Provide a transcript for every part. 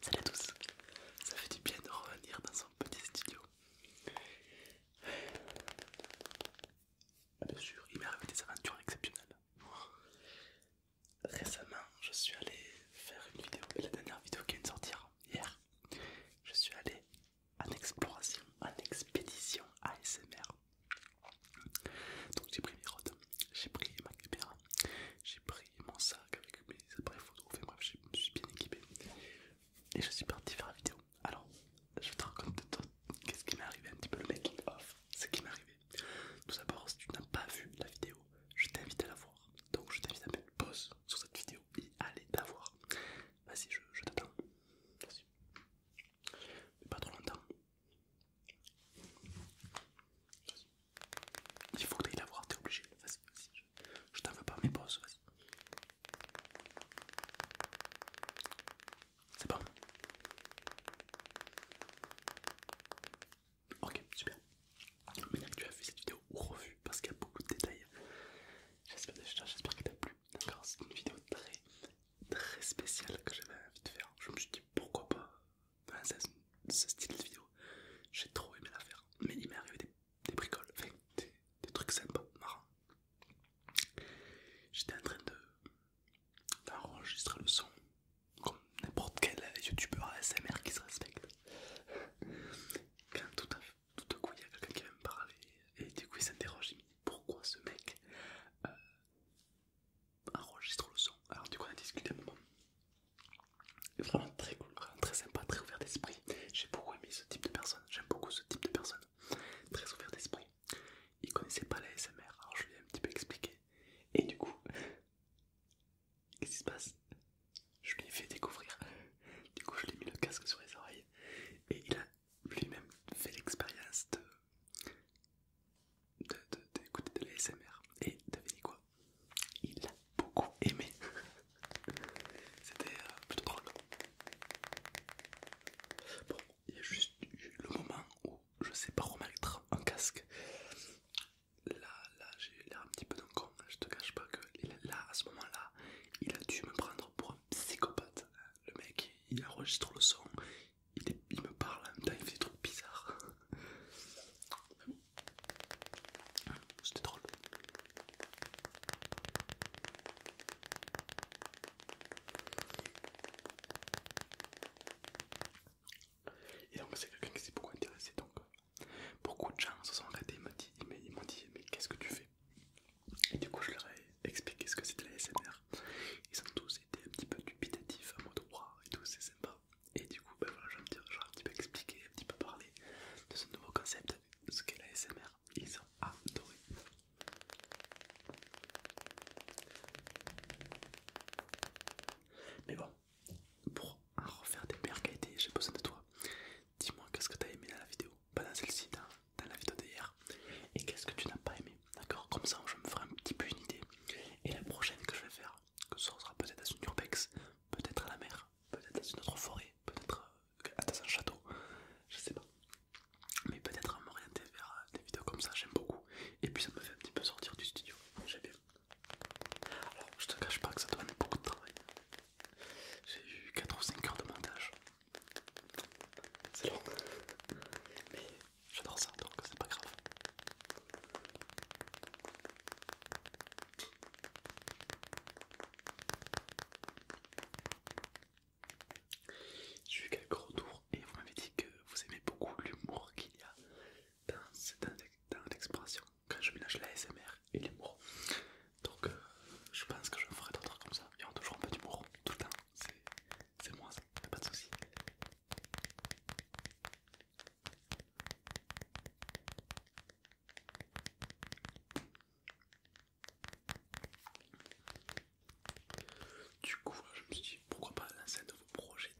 Salut à tous, ça fait du bien de revenir dans son petit studio. Bien sûr, il m'est arrivé des aventures exceptionnelles. Récemment, je suis allé faire une vidéo, la dernière vidéo qui vient de sortir hier. Je suis allé en exploration, en expédition ASMR donc j'ai pris mes rods, j'ai pris ma caméra, j'ai pris mon sac avec mes appareils photo, bref, je suis bien équipé. Et je suis parti faire la vidéo. Alors, je vais te raconter qu'est-ce qui m'est arrivé, un petit peu le mec. off. ce qui m'est arrivé. Tout d'abord, si tu n'as pas vu la vidéo, je t'invite à la voir. Donc je t'invite à mettre pause sur cette vidéo et à aller la voir. Vas-y, je, t'attends. merci pas trop longtemps. Il faut que tu la voir, t'es obligé. Vas-y, vas-y. Je, t'en veux pas, mes bosses, C'est bon Ok, super. Maintenant que tu as vu cette vidéo ou revue, parce qu'il y a beaucoup de détails, j'espère que t'as plu. D'accord, c'est une vidéo très très spécial que j'avais envie de faire. Je me suis dit pourquoi pas ce style de vidéo. J'ai trop aimé la faire, mais il m'est arrivé des, bricoles, des, trucs sympas, marrants. J'étais en train d'enregistrer le son comme n'importe quel youtubeur ASMR qui se respecte. Quand tout à, coup il y a quelqu'un qui vient me parler et du coup il s'interroge, pourquoi ce mec euh, enregistre le son. Alors du coup on a discuté un moment. Vraiment très cool, vraiment très sympa, très ouvert d'esprit. J'ai beaucoup aimé ce type de personne, j'aime beaucoup ce type de personne. Très ouvert d'esprit. Il connaissait pas la SMR, alors je lui ai un petit peu expliqué. Et du coup, qu'est-ce qui se passe Je lui ai fait découvrir. Du coup je lui ai mis le casque sur les oreilles et il a lui-même fait l'expérience d'écouter de, de, l'ASMR. Et quoi Il a beaucoup aimé. C'était euh, plutôt drôle. Bon, il y a juste eu le moment où je sais pas remettre un casque. Là, là j'ai l'air un petit peu d'un con, je te cache pas que là, à ce moment-là, il a dû me prendre pour psychopathe. Le mec, il enregistre le son, il, me parle en même temps, il fait des trucs bizarres. C'était drôle. Et donc c'est quelqu'un qui s'est beaucoup intéressé donc euh, beaucoup de gens se sont arrêtés, ils m'ont dit mais qu'est-ce que tu fais et du coup, je leur ai expliqué ce que c'était la SMR. Ils ont tous été un petit peu dubitatifs, à mon droit et tout, c'est sympa. Et du coup, ben voilà, un, petit peu expliqué, un petit peu parlé de ce nouveau concept, ce qu'est la SMR. Ils ont adoré. Mais bon, pour refaire des meilleures qualités, j'ai besoin de toi dis-moi qu'est-ce que t'as aimé dans la vidéo, pas dans celle-ci, dans, la vidéo d'hier, et qu'est-ce que tu n'as pas aimé, d'accord Comme ça, je me ferai un petit peu une idée. Et la prochaine que je vais faire, que ce sera peut-être à une urbex, peut-être à la mer, peut-être dans une autre forêt, peut-être euh, dans un château, je sais pas. Mais peut-être à m'orienter vers euh, des vidéos comme ça, j'aime beaucoup. Et puis ça me fait un petit peu sortir du studio, j'aime bien. Alors, je te cache pas que ça demande beaucoup de travail, j'ai eu 4 ou 5 heures de montage. C'est long. Mais j'adore ça, donc c'est pas grave. J'ai eu quelques retours et vous m'avez dit que vous aimez beaucoup l'humour qu'il y a dans, dans l'expression quand je mélange la SMR et l'humour. Donc euh, je pense que je ferai d'autres comme ça. Il y aura toujours un peu d'humour tout le temps. C'est moi ça, pas de soucis. Du coup, je me suis dit pourquoi pas lancer un nouveau projet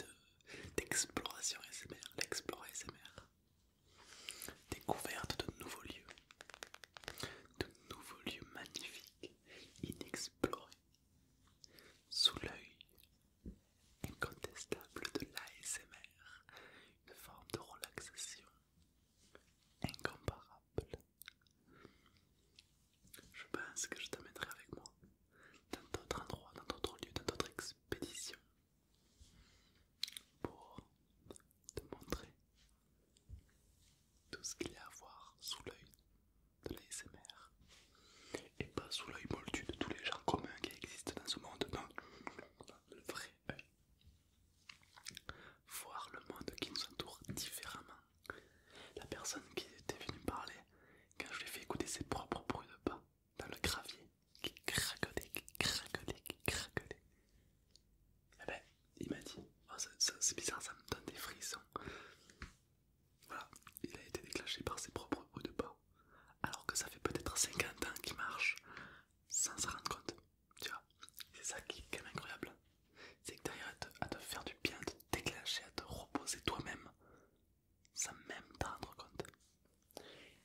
d'exploration SMR, l'explorer SMR. Découverte de nouveaux lieux, de nouveaux lieux magnifiques, inexplorés, sous l'œil incontestable de l'ASMR, une forme de relaxation incomparable. Je pense que je te mettrai avec moi dans d'autres endroits, dans d'autres lieux, dans d'autres expéditions pour te montrer tout ce qu'il y a à voir sous l'œil de l'ASMR et pas sous l'œil moldu de tous les gens communs qui existent dans ce monde, non, le vrai œil. Voir le monde qui nous entoure différemment. La personne qui était venue me parler, quand je lui ai fait écouter ses propres bruits de pas, dans le gravier qui craquelait, qui craquelait, qui Et eh ben, il m'a dit oh, c'est bizarre, ça me donne des frissons. Voilà, il a été déclenché par ses propres hauts de pas, alors que ça fait peut-être 50 ans qu'il marche sans s'en rendre compte. Tu vois, c'est ça qui est quand même incroyable. C'est que derrière à à te faire du bien, à te déclencher, à te reposer toi-même, sans même t'en rendre compte.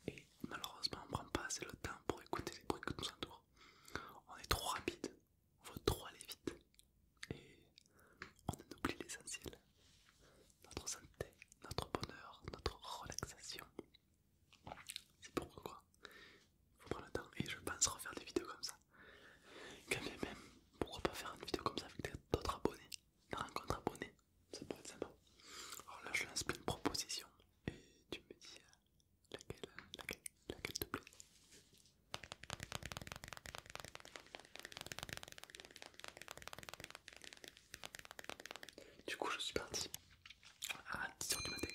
Et malheureusement, on prend pas assez le temps pour écouter les bruits qui nous entourent. On est trop rapide, on veut trop aller vite et on oublie l'essentiel notre santé, notre bonheur, notre relaxation. C'est pourquoi quoi faut prendre le temps et je pense refaire des vidéos comme ça. Quand même, pourquoi pas faire une vidéo comme ça avec d'autres abonnés, d'un compte abonnés ça pourrait être sympa. Alors là, je lance plein de propositions et tu me dis euh, laquelle, euh, laquelle, laquelle te plaît. Du coup, je suis parti à 10h du matin.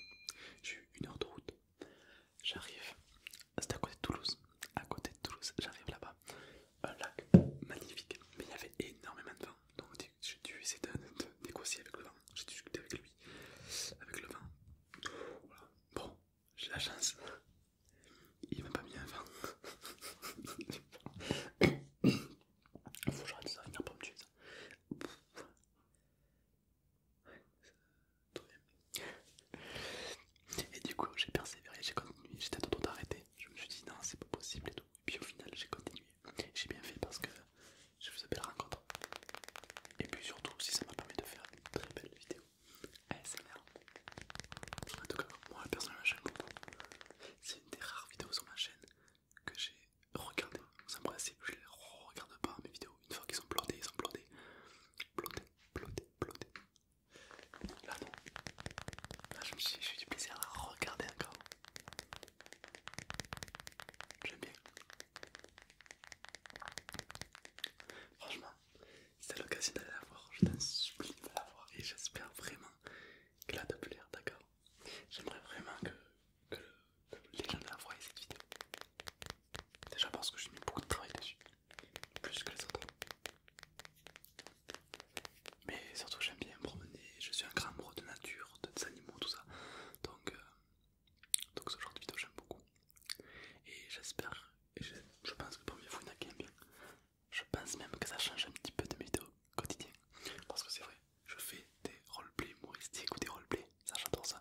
J'ai eu une heure de route. J'arrive, c'était à côté de Toulouse. À côté de Toulouse, j'arrive là-bas un lac magnifique, mais il y avait énormément de vent, donc j'ai dû essayer de, négocier avec le vent, j'ai discuté avec lui, avec le vent. Bon, j'ai la chance, il m'a pas mis un vent. Faut que j'arrête ça, il pas me tuer ça. Et du coup, j'ai persévéré, j'ai continué, j'étais en train d'arrêter. Je me suis dit, non, c'est pas possible et tout. Et puis au final, j'ai continué. J'ai bien fait parce que je faisais belle rencontre. Et puis surtout, si ça m'a permis de faire une très belle vidéo ASMR. En tout cas, moi personnellement, j'aime beaucoup. C'est une des rares vidéos sur ma chaîne que j'ai regardé. Ça me je les regarde pas mes vidéos. Une fois qu'ils sont plantés ils sont plantés, Plotées, plotées, Là non. Là je me suis fait du plaisir à regarder encore. J'aime bien. Franchement, c'est l'occasion d'aller la voir, je t'en supplie la voir et j'espère vraiment qu'elle a te plaire, d'accord J'aimerais vraiment que, les gens la voient cette vidéo. Déjà parce que j'ai mis beaucoup de travail dessus, plus que les autres. Mais surtout j'aime bien me promener, je suis un grand amoureux de nature, de des animaux, tout ça. Donc, euh, donc ce genre de vidéo j'aime beaucoup. Et j'espère, et je, pense que pour mes vous bien. Je pense même que ça change un petit peu de mes vidéos quotidiennes. Parce que c'est vrai, je fais des roleplays humoristiques ou des roleplays, ça j'adore ça.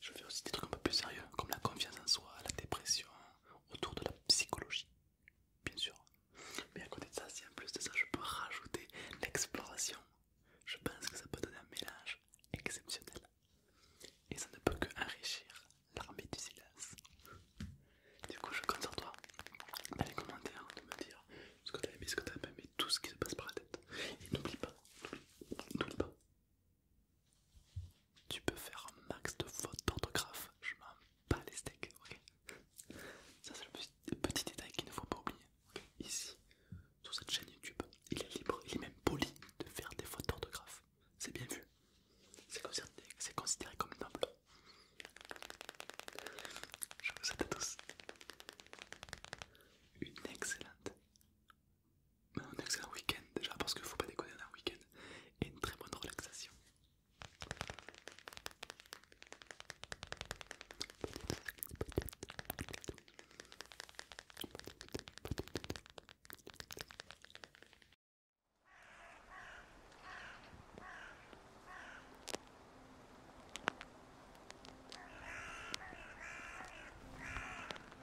Je fais aussi des trucs un peu plus sérieux, comme la confiance en soi, la dépression, autour de la psychologie, bien sûr. Mais à côté de ça, si en plus de ça je peux rajouter l'exploration, je pense que ça peut donner un mélange exceptionnel. Et ça ne peut que enrichir l'armée du silence. Du coup je compte sur toi dans les commentaires de me dire ce que t'as aimé, ce que t'as pas aimé, tout ce qui se passe par la tête. Et n'oublie pas, n'oublie pas, tu peux faire un max de fautes d'orthographe, je m'en bats les steaks, ok Ça c'est le petit, détail qu'il ne faut pas oublier. Ici, sur cette chaîne YouTube, il est libre, il est même poli de faire des fautes d'orthographe. C'est bien vu. C'est considéré, comme noble. Je vous souhaite à tous une excellente, un excellent week-end déjà parce qu'il faut pas déconner un week-end et une très bonne relaxation.